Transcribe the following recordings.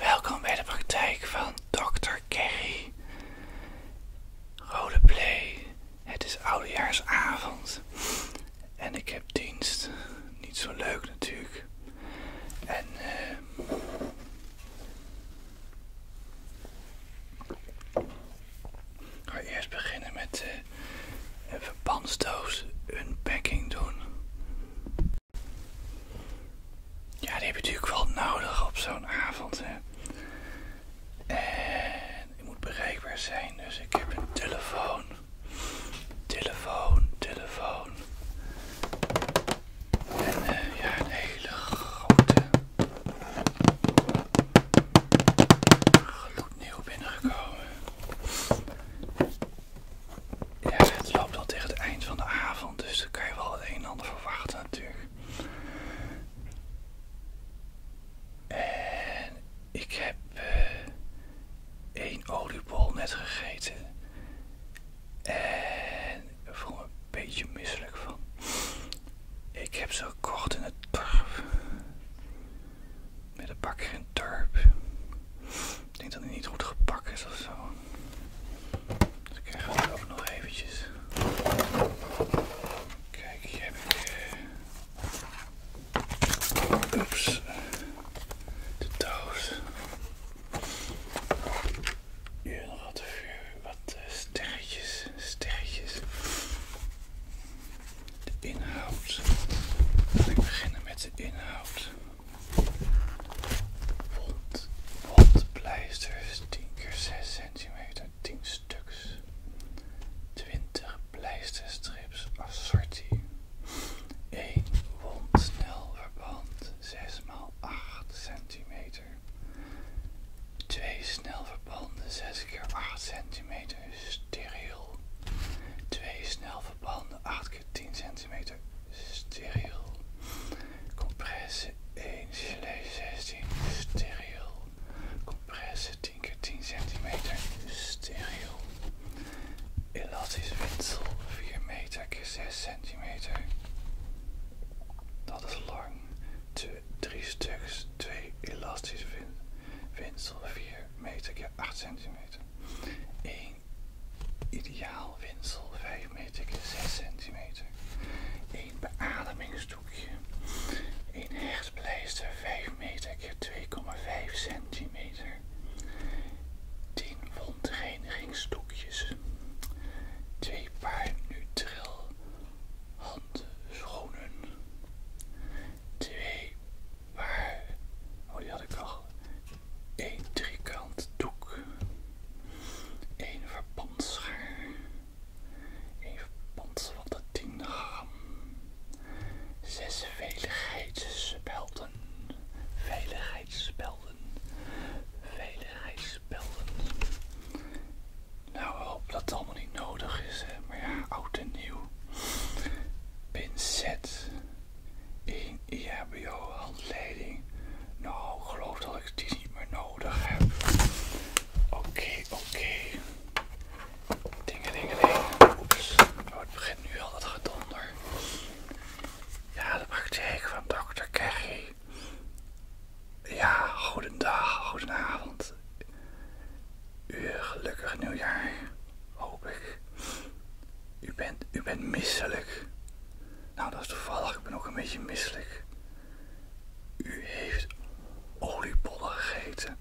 welkom bij de praktijk van Dr. Kerry. Roleplay. Het is oudejaarsavond en ik heb dienst. Niet zo leuk natuurlijk. En ik eh, ga eerst beginnen met eh even een unpacking doen. Ja, die heb je natuurlijk wel nodig op zo'n avond. Hè. En ik moet bereikbaar zijn, dus ik heb een telefoon. Telefoon, telefoon. En eh, ja, een hele grote. Gloednieuw binnengekomen. Ja, het loopt al tegen het eind van de avond, dus dan kan je wel het een en ander verwachten natuurlijk. En ik heb een eh, oliebol net gegeten. En ik voel me een beetje misselijk van. Ik heb ze gekocht in het dorp. Met een bakker en turp. Ik denk dat hij niet goed gepakt is of zo. Dus ik krijg het ook nog eventjes. Kijk, hier heb ik. Eh, oeps. De doos. Hier nog wat vuur, wat eh, sterretjes, sterretjes. De inhoud. Laat ik beginnen met de inhoud is. wondpleisters 10 x 6 centimeter, 10 stuks. 20 pleisterstrips assortie. 1 snel verband 6 x 8 centimeter. 2 snelverbanden 6 x 8 cm steriel. 2 snelverbanden 8 10 centimeter steriel. Compresse 1 gelee 16 steriel. Compresse 10 keer 10 centimeter steriel. Elastisch windsel 4 meter keer 6 centimeter. Dat is lang. 3 stuks, 2 elastisch windsel 4 meter keer 8 centimeter. 1 ideaal winsel 5 meter keer 6 centimeter. 1 beademingsdoekje. 1 hechtpleister 5 meter keer 2,5 centimeter. 10 wondreinigingsdoekjes. 2 paar neutril handschoenen. 2 waar, oh die had ik al, één driekant doek, Eén verbandschaar, Eén verband van de 10 gram, zes veiligheidsspelden, veiligheidsspelden, veiligheidsspelden. Nou, hoop dat dat allemaal niet nodig is, hè? maar ja, oud en nieuw. Pinzet. 1 EHBO-handleiding. Nou, geloof dat ik die niet meer nodig heb. Oké, oké. Dingen, dingen, dingen. Oeps. Oh, het begint nu al dat gedonder. Ja, de praktijk van dokter Kerry. Ja, goedendag, goedenavond. U eh, gelukkig nieuwjaar, hoop ik. U bent, u bent misselijk. Nou, dat is toevallig. Ik ben ook een beetje misselijk. U heeft oliebollen gegeten.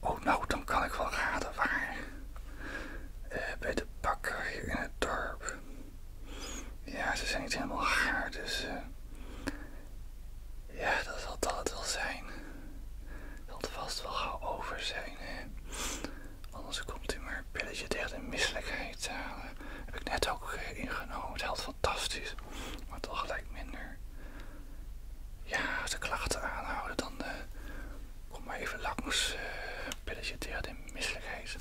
Oh, nou, dan kan ik wel raden waar. Eh, bij de bakker hier in het dorp. Ja, ze zijn niet helemaal gaar, dus... Eh, ja, dat zal dat wel zijn zal het vast wel gaan over zijn. Anders komt hij maar een pilletje tegen de misselijkheid halen. Heb ik net ook eh, ingenomen. Het helpt fantastisch, maar toch gelijk minder. Ja, de klachten aanhouden, dan eh, kom maar even langs. pillage eh, pilletje tegen de misselijkheid.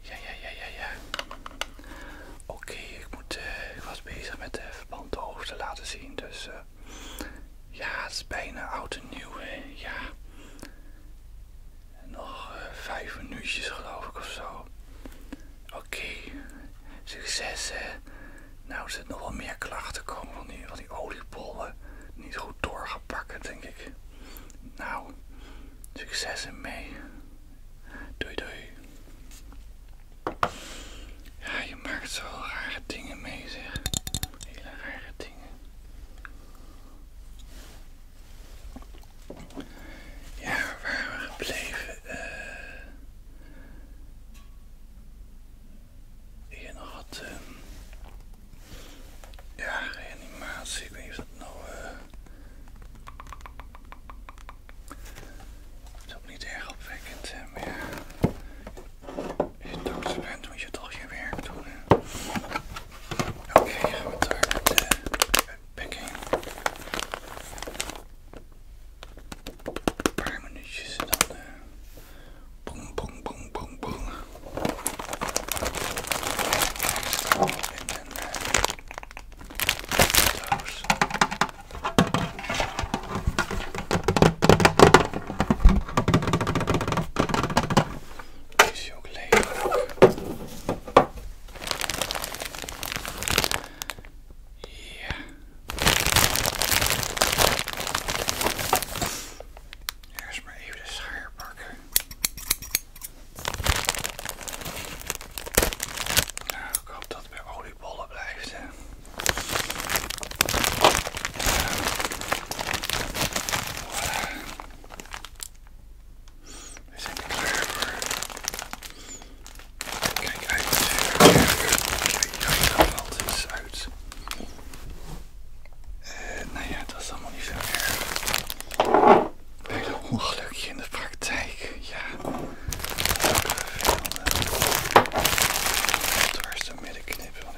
Ja, ja, ja, ja, ja. Oké, ik moet. ik was bezig met de verband te laten zien, dus ja, het is bijna oud en Ja. Nog eh, vijf minuutjes geloof ik of zo. Oké, succes hè. Nou, er zitten nog wel meer klachten komen van die, van oliebollen. Niet goed doorgepakken, denk ik. Nou, succes ermee. Doei doei. Ja, je maakt zo rare dingen mee, zeg. Hele rare dingen. Ja, waar we gebleven? eh. hier nog wat. Eh, ja, reanimatie. Ik weet niet of dat nou. Eh. het is ook niet erg opwekkend, meer. Als je dokter bent, moet je toch je werk doen. Oké, gaan we daar met de packing. Een paar minuutjes dan. Uh, boom, boom, boom, boom, boom. En dan. Uh, doos is ook Ja. Eerst maar even de schaar pakken. Nou, ik dat het bij oliebollen blijft. We zijn klaar voor. Kijk uit. Kijk, dat valt eens uit. nou ja, dat is allemaal niet zo erg. Bij een ongelukje in de praktijk, ja dwars door midden knippen, ik word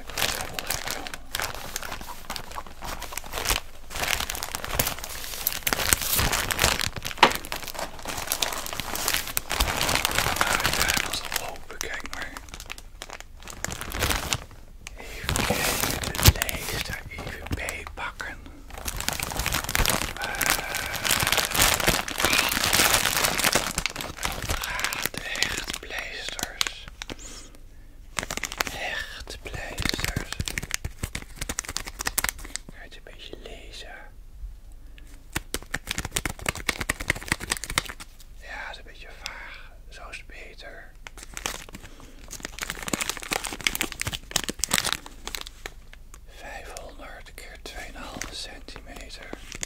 er kijk maar. Even de leester, even bij pakken de hechtpleisters. Hechtpleisters. Ga het een beetje lezen. Ja, het is een beetje vaag. Zo is het beter. Vijfhonderd keer 2,5 centimeter.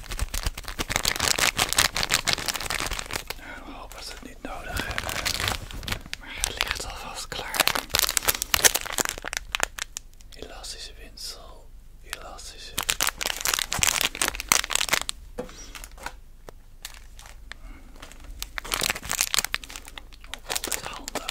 nou, ik hoop dat we het niet nodig hebben. Maar het ligt alvast klaar. Elastische winsel. Elastische. Oh, Altijd handig.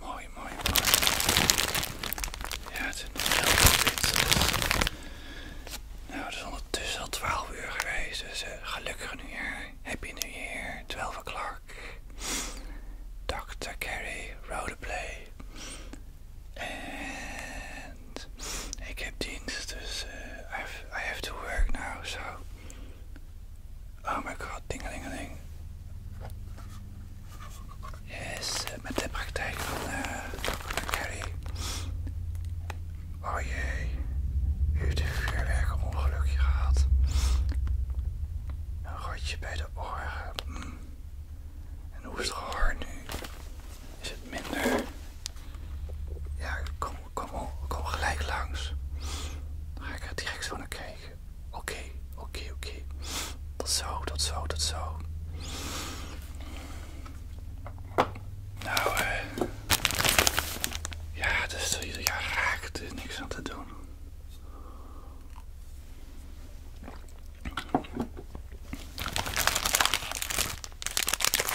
mooi mooie, mooi Ja, het is heel wit. Dus. Nou, het is ondertussen al 12 uur geweest. Dus gelukkig eh, gelukkig nieuwjaar. Happy New Year. 12 o'clock. Dr. Carey, Roleplay. And ik heb dienst, dus eh, I have to work now, so Oh my god, dingeling. Yes, eh, met de praktijk van uh, eh, Harry. Oh jee, u heeft een vuurwerk ongelukje gehad. Een rotje bij de oren. Hmm. En hoe is het gehoor nu? Is het minder? Ja, kom, kom, kom gelijk langs. Dan ga ik er direct zo naar kijken. Oké, oké, oké. Dat zo, dat zo, dat zo. Nou, eh, Ja, dus ieder jaar raakt er niks aan te doen.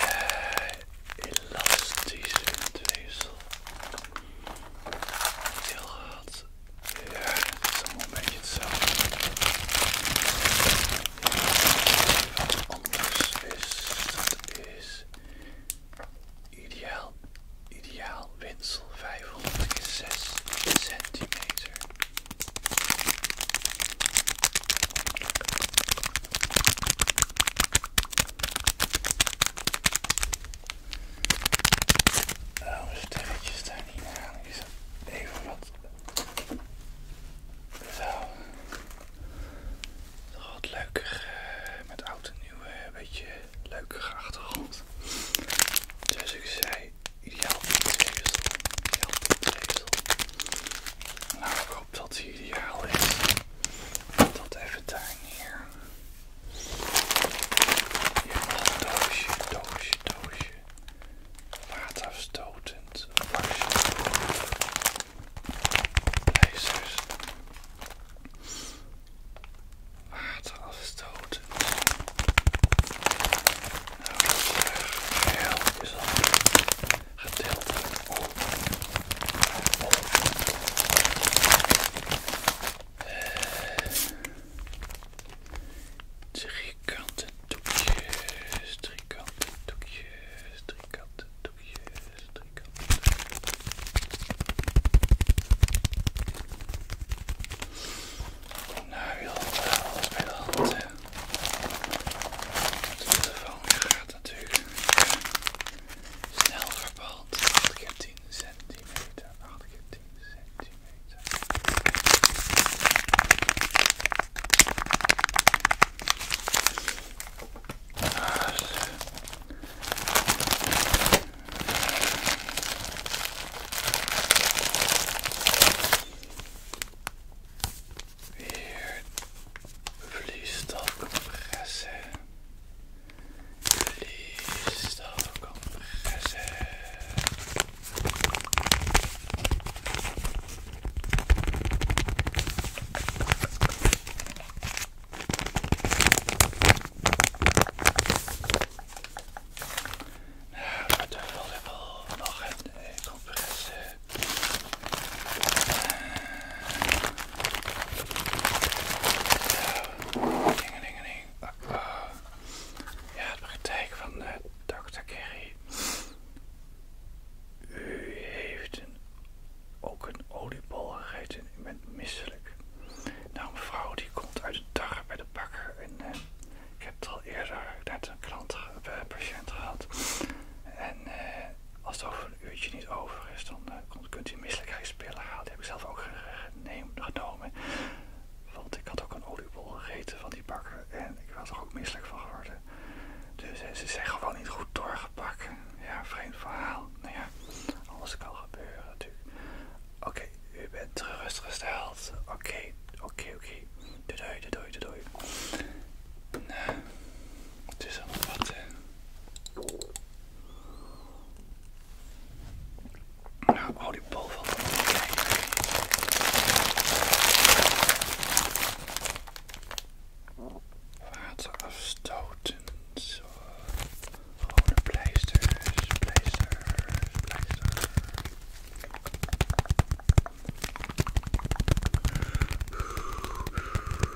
Eh, elastische tweesel. Heel hard. Ja, is een beetje hetzelfde. is, is eh, ideaal, ideaal winstel 500 centimeter. Waarom oh, sterretjes daar niet aan? even wat. Zo. Nog wat leuker eh, met oud en eh, een beetje leukere achtergrond. Dus ik zei, ideaal pintweefsel, ideaal pintweefsel. Nou, ik hoop dat hij ideaal is. het even daar neer. Ja, doosje, doosje, doosje. Waterafstotend wasje. Ijzers. Waterafstotend. Nou, dat eh, driekante doekjes, driekante doekjes, driekante doekjes, driekante doekjes. Nou, wil alles bij de hand, De telefoon gaat natuurlijk eh, snel verband. 10 centimeter. 8 keer 10 centimeter. Dus. Hier vliestal compressen. Listokom gezet. Nou, dat wil ik nog een eh, compresse. Ding, ding, ding. Ja, de praktijk van de eh, Dr. Kerry. U heeft ook een oliebol gegeten. U bent misselijk. Nou, mevrouw die komt uit het dag bij de bakker. En eh, ik heb het al eerder net een klant, patiënt gehad. En eh, als het over uurtje niet over is, dan eh, kunt u misselijkheidspillen halen. Die heb ik zelf ook genomen. Want ik had ook een oliebol gegeten van die bakker en ik was er ook misselijk van geworden. Dus eh, ze zijn gewoon niet goed doorgepakt. Ja, vreemd verhaal. Nou ja, alles kan gebeuren natuurlijk. Oké, u bent gerustgesteld. Oké, oké, oké, oké. Doei, doei, doei, doei. Nou, het is allemaal wat. Eh. Nou, hou die bal Waterafstotend. Zo. Gewone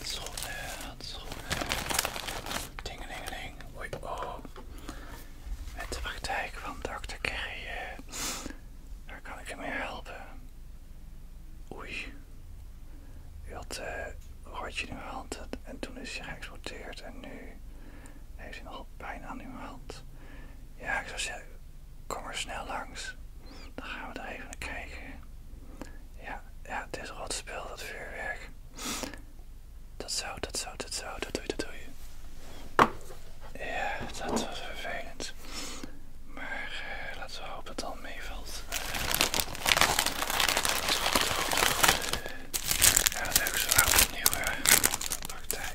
Handschoenen, ding Dingelingeling. Oei, oh. Met de praktijk van dokter Kerry. Eh. Daar kan ik je mee helpen. Oei. Hij had een rotje in uw hand en toen is hij geëxporteerd en nu heeft hij nogal pijn aan uw hand. Ja, ik zou zeggen, Kom er snel langs. Dan gaan we er even naar kijken. Ja, ja het is rot speel, dat vuurwerk. Dat zo, dat zo, dat zo, dat doe je, dat doe je. Ja, dat was vervelend. Maar eh, laten we hopen dat het al meevalt. Eh, ja, leuk zo, opnieuw. praktijk.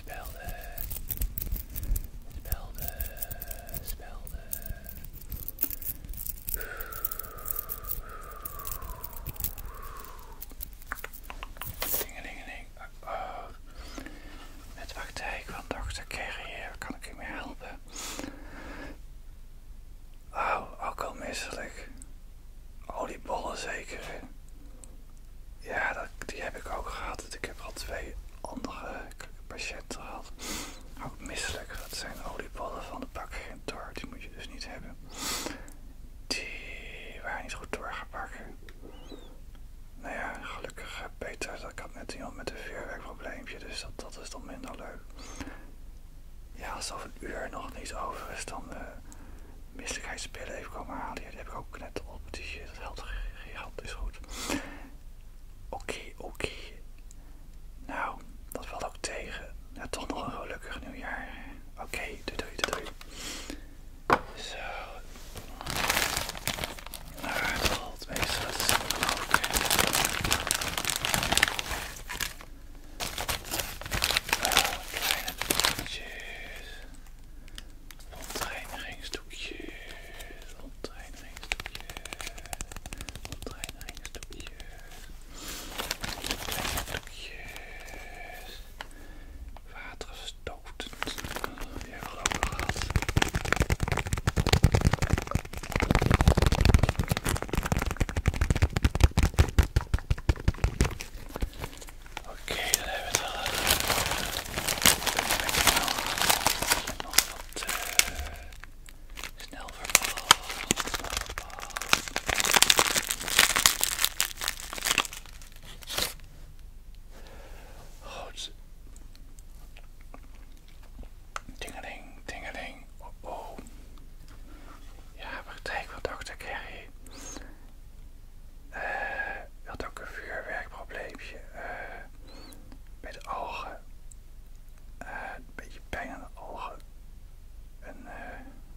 spelden, spelden, spelden. ding ding. Ah, oh. Met praktijk van dokter Carrier kan ik u mee helpen. Oh, ook al misselijk. die bollen zeker. Ja, die heb ik ook gehad. Ik heb al twee andere patiënten gehad. Ook misselijk. Dat zijn olieballen van de bak door. Die moet je dus niet hebben. Die waren niet goed doorgepakt. Nou ja, gelukkig beter. Eh, dat ik had net iemand met een vuurwerkprobleempje. Dus dat, is dan minder leuk. Ja, alsof een uur nog niet over is, dan de uh, even komen halen. die heb ik ook net op. Die het geld gehad is goed. Oké, oké. Nou, dat valt ook tegen. Ja, toch nog een gelukkig nieuwjaar. Oké, doe doei doe doei. Zo. Nou, het valt meestal Nou, kleine Rondreinigingsdoekje. Rondreinigingsdoekje. Rondreinigingsdoekje. Rondreinigingsdoekjes. Oké, okay, dan hebben we het al. Nog wat uh, snel verval. Goed. Dingeling, dingeling. Oh oh. Ja, praktijk van dokter Kerry. Ik eh, had ook een vuurwerkprobleempje eh, met bij de algen. Eh, een beetje pijn aan de algen. Een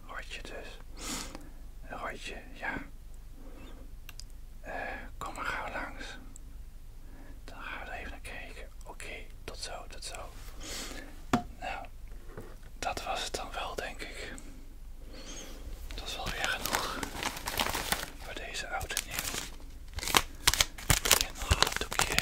rotje dus. Een rotje, ja. Eh, kom maar gauw langs. Dan gaan we er even naar kijken. Oké, tot zo, tot zo. Nou, dat was het dan wel, denk ik. Dat is wel weer genoeg voor deze oude nieuw. En doekje,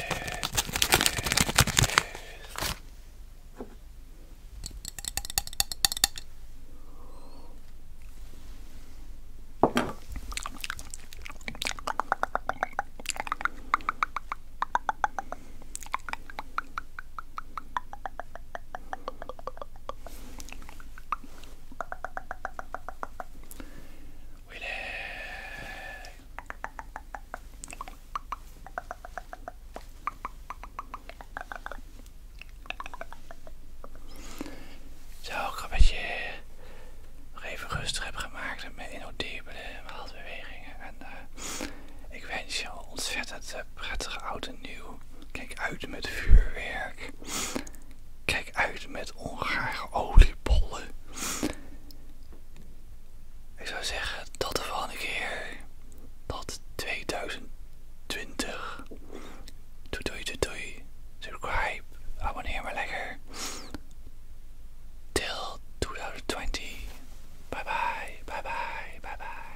zo, ik dat je nog even rustig heb gemaakt met inodibele bewegingen. En eh, ik wens je ontzettend eh, prettig oud en nieuw. Kijk uit met vuurwerk. Kijk uit met ongare oliebollen. Ik zou zeggen tot de volgende keer tot 2020. Doei doei doei doei. Subscribe. Abonneer maar lekker. Till 2020. Bye bye. Bye bye. Bye bye.